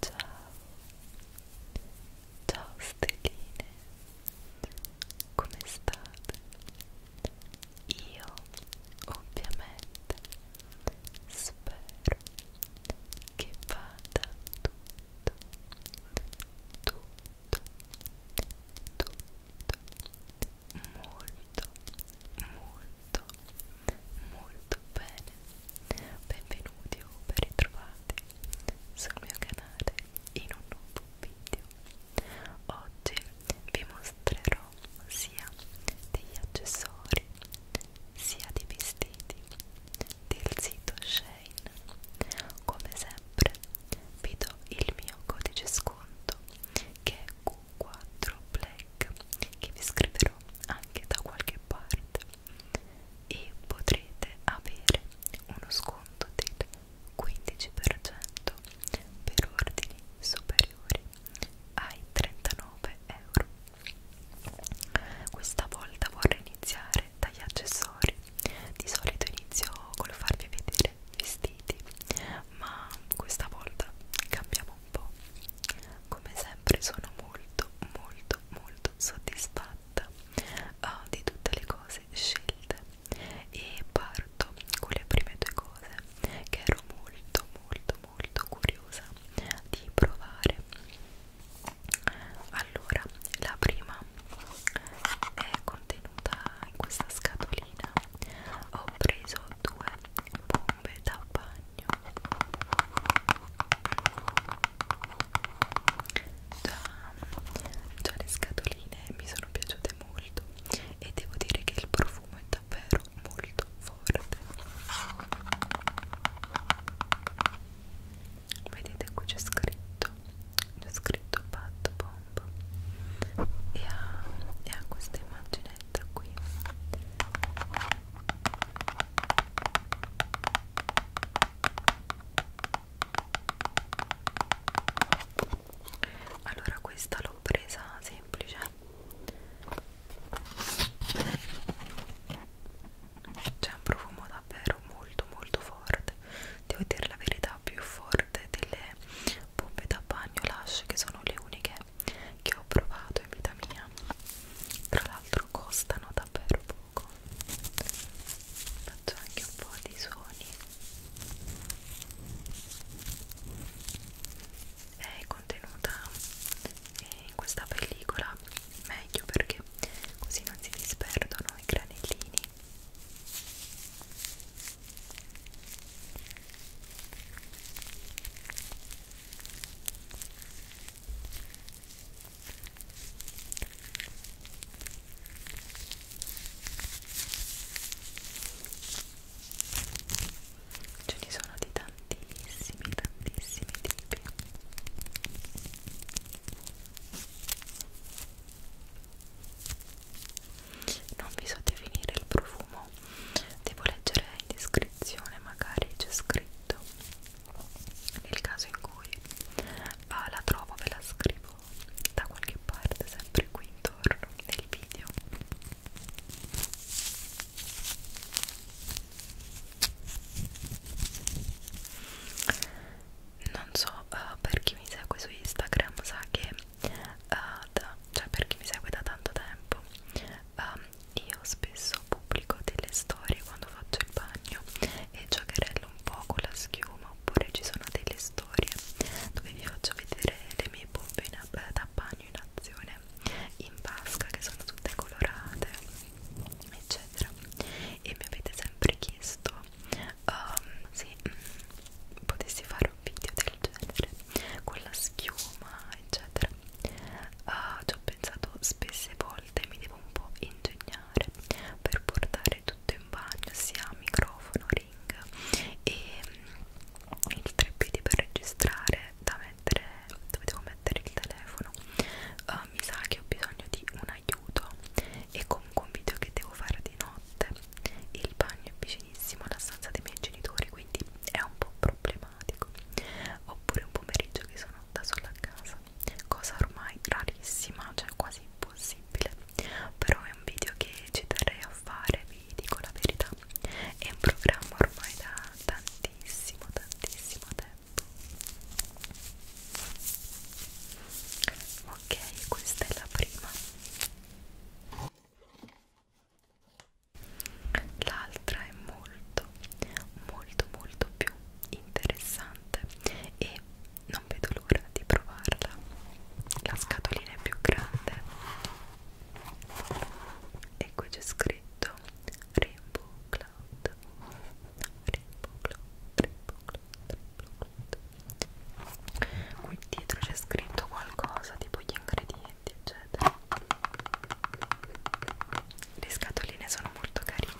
Ciao, ciao stelline, come state? Io ovviamente spero che vada tutto, tutto tutto molto molto molto bene benvenuti o ben ritrovati sul mio canale in un nuovo video oggi vi mostrerò sia degli accessori sia dei vestiti del sito Shein Lane. Come sempre vi do il mio codice sconto che è Q4 Black che vi scriverò anche da qualche parte e potrete avere uno sconto del 15% per ordini superiori ai 39 euro. Questa volta vorrei iniziare dagli accessori di solito inizio col farvi vedere vestiti, ma questa volta cambiamo un po'. Come sempre sono molto, molto, molto soddisfatta uh, di tutte le cose scelte e parto con le prime due cose che ero molto, molto, molto curiosa di provare allora la prima è contenuta in questa scatolina ho preso due bombe da bagno già, già le scatoline mi sono piaciute molto e devo dire che il profumo è davvero molto forte vedete qui c'è scritto c'è scritto Pat Bomb e ha, e ha questa immaginetta qui allora questa l'ho presa semplice c'è un profumo davvero molto molto forte devo dire la verità più forte delle pompe da bagno lash che sono le uniche che ho provato in vita mia tra l'altro costano davvero poco faccio anche un po' di suoni è contenuta in questa pellicola meglio perché così non si disperdono i granellini ce ne sono di tantissimi tantissimi tipi non vi so definire il profumo devo leggere in descrizione magari c'è scritto nel caso in cui ah, la trovo ve la scrivo da qualche parte sempre qui intorno nel video non so uh, per chi mi segue su Instagram sa che uh, da, cioè per chi mi segue da tanto tempo um, io spesso pubblico delle storie quando faccio il bagno e giocherello un po' con la schiuma oppure ci sono delle storie dove vi faccio vedere le mie pompe in, eh, da bagno in azione in vasca che sono tutte colorate eccetera e mi avete sempre chiesto um, se mm, potessi fare un video del genere con la schiuma eccetera uh, ci ho pensato spesse volte mi devo un po' ingegnare per portare tutto in bagno sia microfono, ring e mm, il treppiedi per registrare da mettere dove devo mettere il telefono uh, mi sa che ho bisogno di una aiuto e comunque un video che devo fare di notte il bagno è vicinissimo alla stanza dei miei genitori quindi è un po' problematico oppure un pomeriggio che sono da sola a casa cosa ormai rarissima cioè quasi impossibile però è un video che ci terrei a fare vi dico la verità è un programma ormai da tantissimo tantissimo tempo ok questa è la prima l'altra è molto molto molto più interessante e non vedo l'ora di provarla la scatolina è più grande e qui c'è scritto Rainbow Cloud Rainbow Cloud Rainbow Cloud Rainbow Cloud qui dietro c'è scritto qualcosa tipo gli ingredienti eccetera le scatoline sono molto carine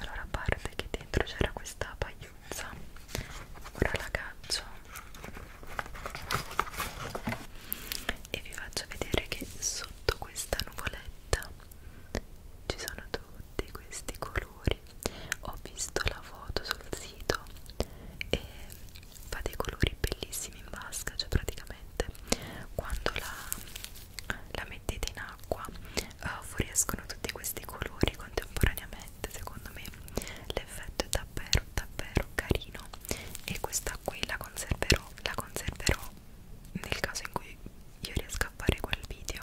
allora a parte che dentro c'era questa pagliuzza ora la caccio e vi faccio vedere che sotto questa nuvoletta ci sono tutti questi colori ho visto la foto sul sito e fa dei colori bellissimi in vasca cioè praticamente quando la la mettete in acqua uh, fuoriescono tutti questi colori contemporaneamente secondo me l'effetto è davvero davvero carino e questa qui la conserverò la conserverò nel caso in cui io riesco a fare quel video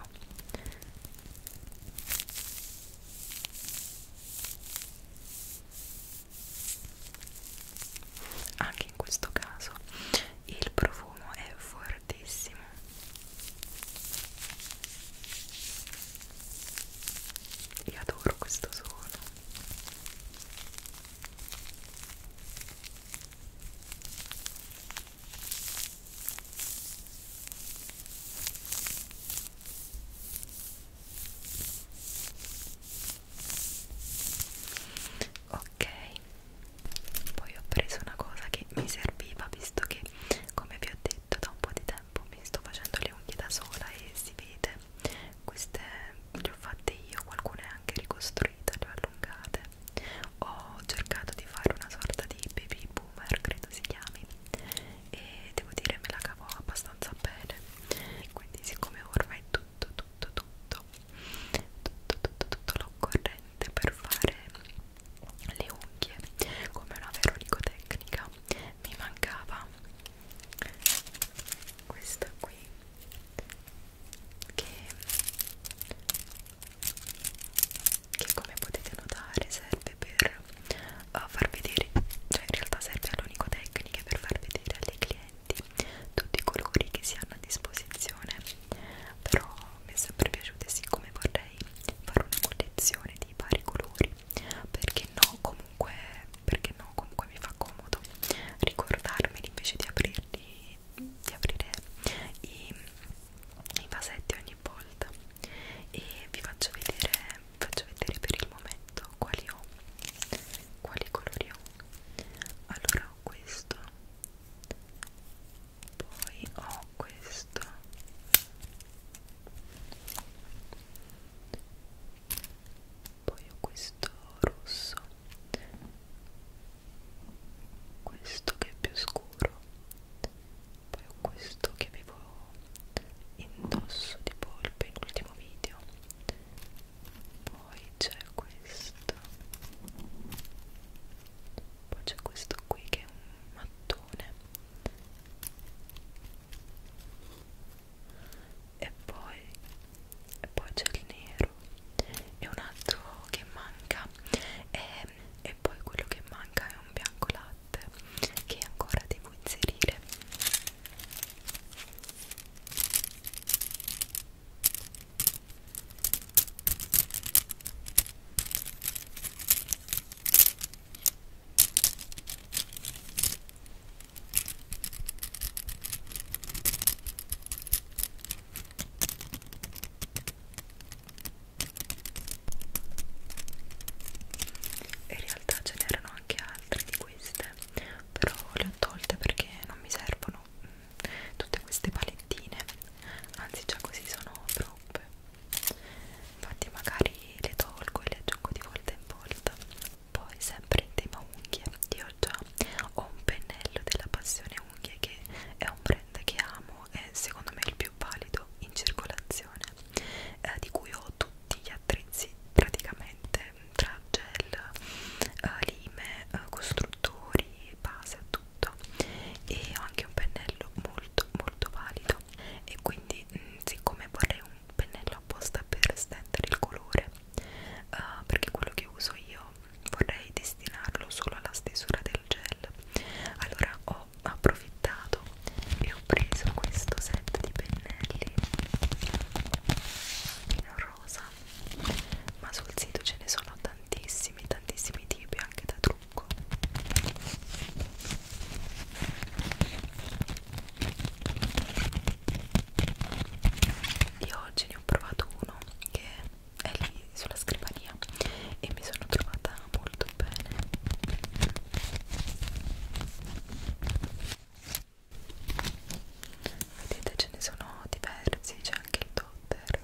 anche in questo caso il profumo è fortissimo io adoro questo suono ok poi ho preso una cosa che mi serviva visto che come vi ho detto da un po' di tempo mi sto facendo le unghie da sola e si vede queste le ho fatte io qualcune anche ricostruite le ho allungate ho cercato di fare una sorta di baby boomer credo si chiami e devo dire me la cavo abbastanza bene e quindi siccome ormai tutto tutto tutto tutto tutto tutto, tutto l'ho corretto sufficiente per fare le unghie come una vera onicotecnica mi mancava questa qui che, che come potete notare serve per uh, far vedere cioè in realtà serve all'onicotecnica per far vedere alle clienti tutti i colori che si hanno a disposizione però mi è sempre piaciute siccome vorrei fare una collezione di vari colori perché no comunque perché no comunque mi fa comodo ricordarmeli invece di aprirli di aprire i, i vasetti ogni volta e vi faccio vedere vi faccio vedere per il momento quali ho quali colori ho allora ho questo poi ho questo poi ho questo rosso questo che è più scuro poi ho questo che avevo indosso tipo per l'ultimo video poi c'è questo poi c'è questo qui che è un mattone e poi, e poi c'è il nero e un altro che manca e, e poi quello che manca è un bianco latte che ancora devo inserire in realtà ce n'erano anche altre di queste però le ho tolte perché non mi servono tutte queste palettine anzi già così sono troppe infatti magari le tolgo e le aggiungo di volta in volta poi sempre in tema unghie io già ho un pennello della passione unghie che è un brand che amo e secondo me il più valido in circolazione eh, di cui ho tutti gli attrezzi praticamente tra gel, eh, lime, eh, costruttori, base a tutto tutto e ho anche un pennello molto molto valido e quindi mh, mm, siccome vorrei un pennello apposta per stendere il colore uh, perché quello che uso io vorrei destinarlo solo alla stesura del gel allora ho approfittato e ho preso questo set di pennelli in rosa ma sul sito ce ne sono tantissimi, tantissimi tipi anche da trucco. Io oggi ne ho provato uno che è lì sulla scrivania e mi sono trovata molto bene. Vedete ce ne sono diversi, c'è anche il Potter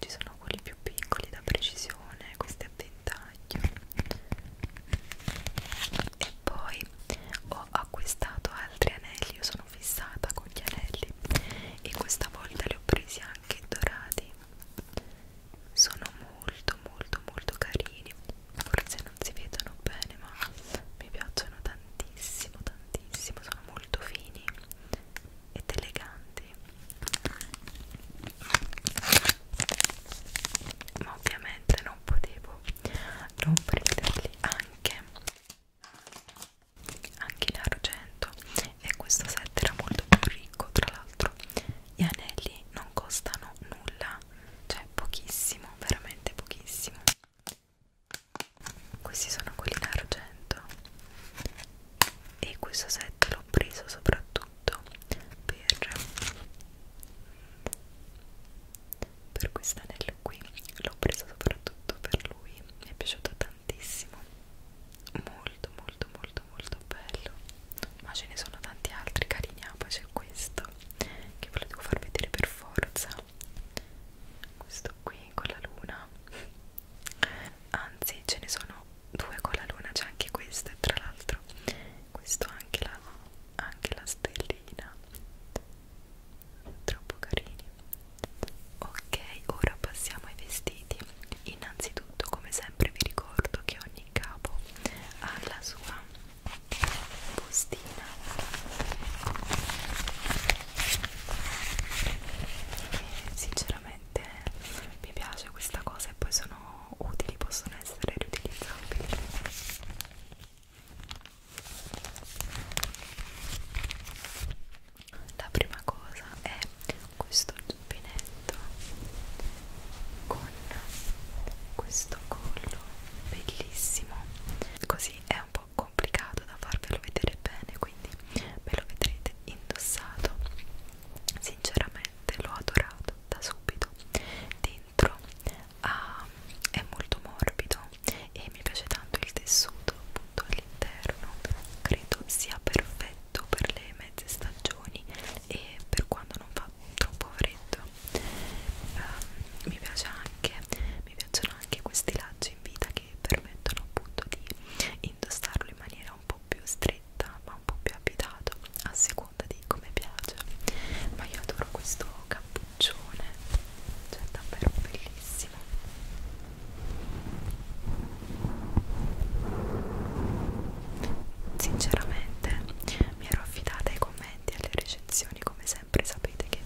ci sono quelli più piccoli da precisione questi a ventaglio e poi ho acquistato altri anelli io sono fissata con gli anelli e questa volta li ho presi anche dorati sono molto molto molto carini forse non si vedono bene ma mi piacciono tantissimo tantissimo sono molto molto fini ed eleganti ma ovviamente non potevo non prenderli anche anche in argento e questo set era molto più ricco tra l'altro gli anelli non costano nulla cioè pochissimo veramente pochissimo questi sono quelli in argento e questo set l'ho preso soprattutto per, per questo anello qui, l'ho preso soprattutto per lui, mi è piaciuto tantissimo, molto molto molto molto bello, ma ce ne sono tanti altri carini, ah, poi c'è questo che ve lo devo far vedere per forza questo qui con la luna anzi ce ne sono due con la luna c'è anche questo e tra l'altro questo ha anche la, anche la stellina troppo carini ok ora passiamo ai vestiti innanzitutto come sempre vi ricordo che ogni capo ha la sua bustina mattina e sinceramente mi piace questa cosa e poi sono utili, possono essere riutilizzabili la prima cosa è questo giubbinetto con questo collo bellissimo così è un po' po' complicato da farvelo vedere bene quindi me lo vedrete indossato sinceramente l'ho adorato da subito dentro ah, è molto morbido e mi piace tanto il tessuto appunto all'interno credo sia perfetto per le mezze stagioni e per quando non fa troppo freddo um, mi piace anche mi piacciono anche questi lacci in vita che permettono appunto di indossarlo in maniera un po' più stretta ma un po' più abitato a seconda di come piace ma io adoro questo cappuccione cioè è davvero bellissimo sinceramente mi ero affidata ai commenti e alle recensioni come sempre sapete che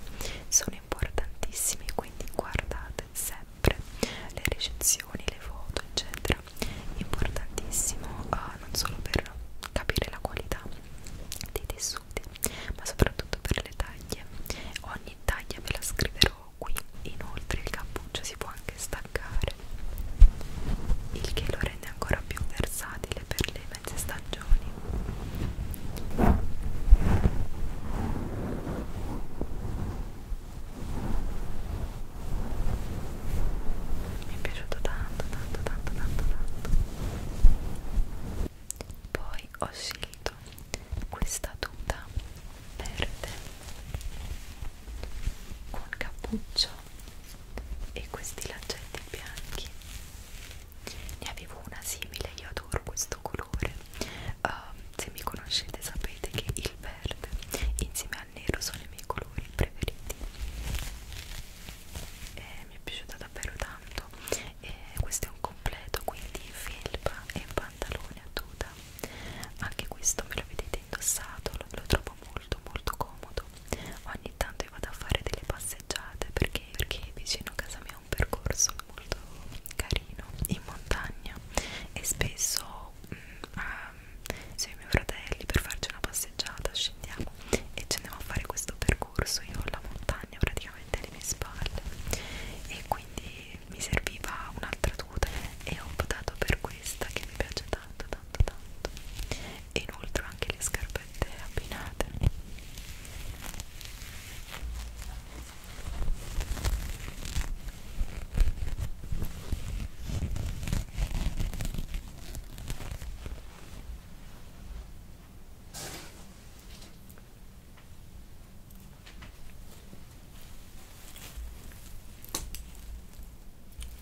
sono importantissimi quindi guardate sempre le recensioni, le foto eccetera importantissimo uh, non solo per capire la qualità dei tessuti ma soprattutto per le taglie ogni taglia ve la scriverò qui inoltre il cappuccio si può anche staccare il che lo rende ancora più versatile per le mezze stagioni mi è piaciuto tanto tanto tanto tanto tanto poi ho scelto questa tuta verde con cappuccio e questi laccetti bianchi ne avevo una simile, io adoro questo colore uh, se mi conoscete sapete che il verde insieme al nero sono i miei colori preferiti e mi è piaciuta davvero tanto e questo è un completo quindi felpa e pantalone a tuta anche questo me lo vedete indossato lo, lo trovo molto molto comodo ogni tanto io vado a fare delle passeggiate passeggiate perché, perché vicino a casa mia è un percorso molto carino in montagna e spesso mh, um, se i miei fratelli per farci una passeggiata scendiamo e ci andiamo a fare questo percorso io ho la montagna praticamente alle mie spalle e quindi mi serviva un'altra tuta e ho optato per questa che mi piace tanto tanto tanto e inoltre anche le scarpe polpette abbinate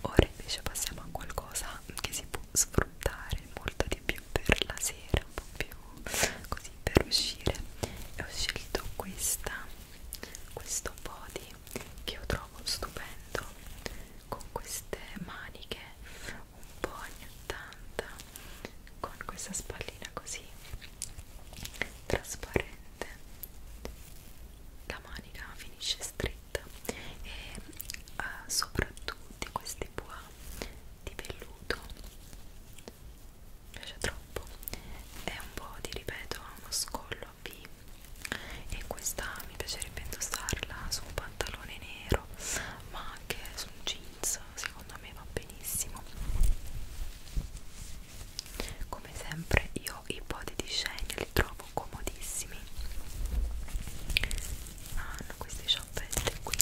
Ora invece passiamo a qualcosa che si sfruttare molto di più per la sera un po' più così per uscire e ho scelto questa questo body che io trovo stupendo con queste maniche un po' anni 80 con questa spallina così trasparente la manica finisce stretta fretta e uh, soprattutto questi bois di velluto mi piace troppo è un po' di ripeto uno scollo a V e questa mi piacerebbe indossarla su un pantalone nero ma anche su un jeans secondo me va benissimo come sempre io i body di Shane li trovo comodissimi hanno queste scioppette qui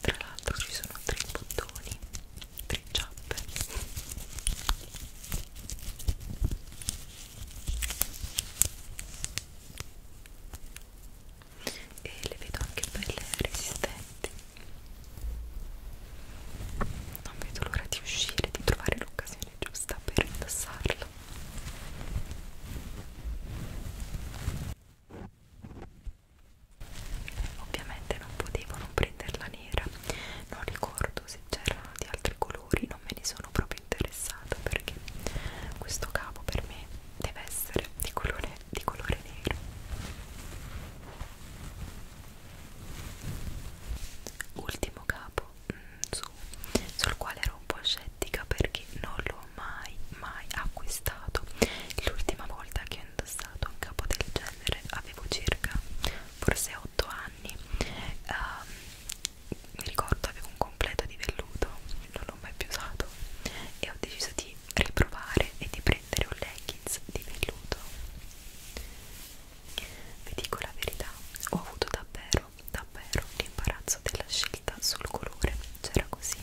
tra l'altro ci sono tre bottoni tre ciappe e le vedo anche belle resistenti non vedo l'ora di uscire di trovare l'occasione occasione giusta per indossarlo ovviamente non potevo non prenderla nera non ricordo se c'erano di altri colori non me ne sono proprio interessata perché questo capo per me deve essere di colore, di colore nero ultimo capo mh, mm, su, sul quale ero un po' scettica perché non l'ho mai mai acquistato l'ultima volta che ho indossato un capo del genere avevo circa forse 8 anni uh, mi ricordo avevo un completo di velluto non l'ho mai più usato e ho deciso di riprovare e di prendere un leggings di velluto vi dico la verità, ho avuto davvero avuto davvero l'imbarazzo della scelta sul colore c'era così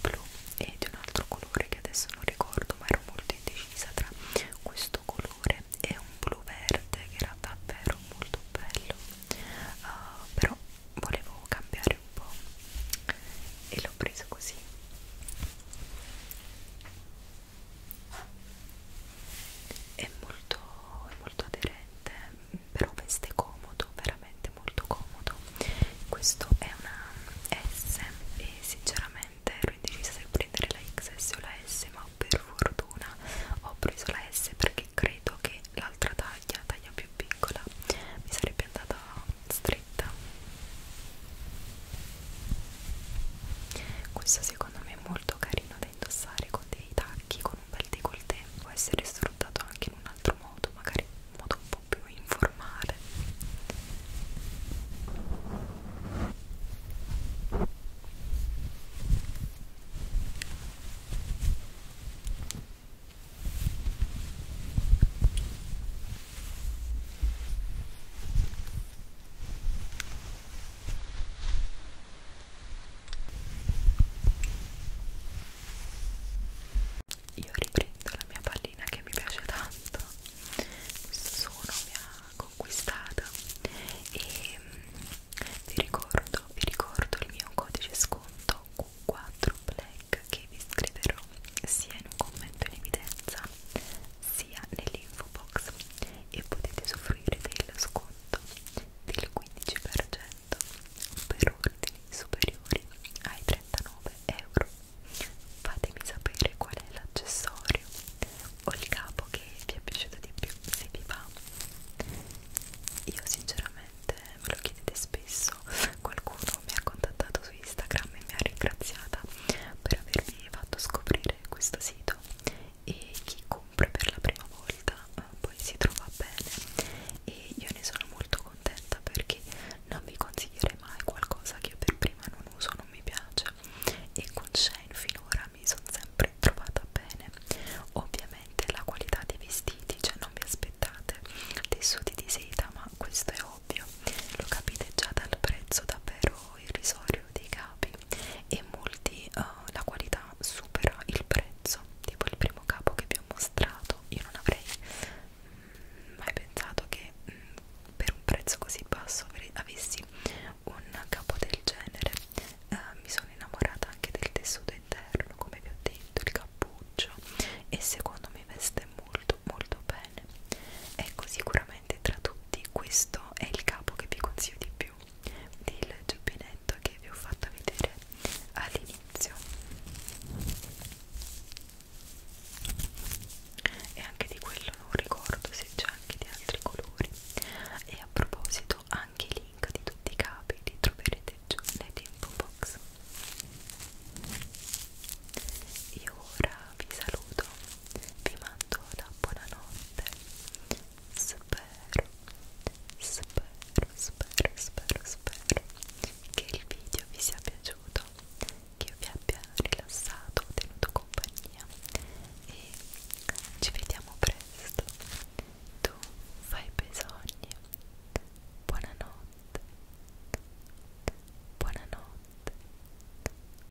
blu e di un altro colore che adesso non ricordo ma ero molto indecisa tra questo colore e un blu verde che era davvero molto bello uh, però volevo cambiare un po' e l'ho preso così è molto, è molto aderente però veste comodo veramente molto comodo questo è una S e sinceramente ero indecisa se prendere la XS o la S ma per fortuna ho preso la S perché credo che l'altra taglia taglia più piccola mi sarebbe andata stretta questo secondo me è molto carino da indossare con dei tacchi, con un bel décolleté, può essere sfruttato anche in un altro modo, magari in un modo un po' più informale. Io riprendo la mia pallina che mi piace tanto, questo suono mi ha conquistata e mm, vi ricordo, vi ricordo il mio codice sconto Q4 Black che vi scriverò sia in un commento in evidenza sia nell'info box e potete usufruire dello sconto del 15% per ordini superiori ai 39 euro. Fatemi sapere qual è l'accessorio o il capo che vi è piaciuto di più, se vi va. Io sinceramente me lo chiedete spesso, qualcuno mi ha contattato su Instagram e mi ha ringraziata per avermi fatto scoprire questo sito e chi compra per la prima volta eh, poi si trova bene e io ne sono molto contenta perché non vi consiglierei mai qualcosa che io per prima non uso, non mi piace e con Shane finora mi sono sempre trovata bene ovviamente la qualità dei vestiti, cioè non vi aspettate tessuti di seta ma questo è ovvio lo capite già dal prezzo davvero irrisorio dei capi e molti uh, la qualità supera il prezzo tipo il primo capo che vi ho mostrato io non avrei mh, mm, mai pensato che mh, mm, per un prezzo così basso avessi un capo del genere uh, mi sono innamorata anche del tessuto interno come vi ho detto il cappuccio e secondo me veste molto molto bene ecco sicuramente veramente tra tutti questo è il capo che vi consiglio di più del giubbinetto che vi ho fatto vedere all'inizio e anche di quello non ricordo se c'è anche di altri colori e a proposito anche i link di tutti i capi li troverete giù nell'info box io ora vi saluto vi mando una buonanotte spero spero spero spero spero che il video vi sia piaciuto che vi abbia rilassato tenuto compagnia e ci vediamo presto tu fai i bisogni buonanotte buonanotte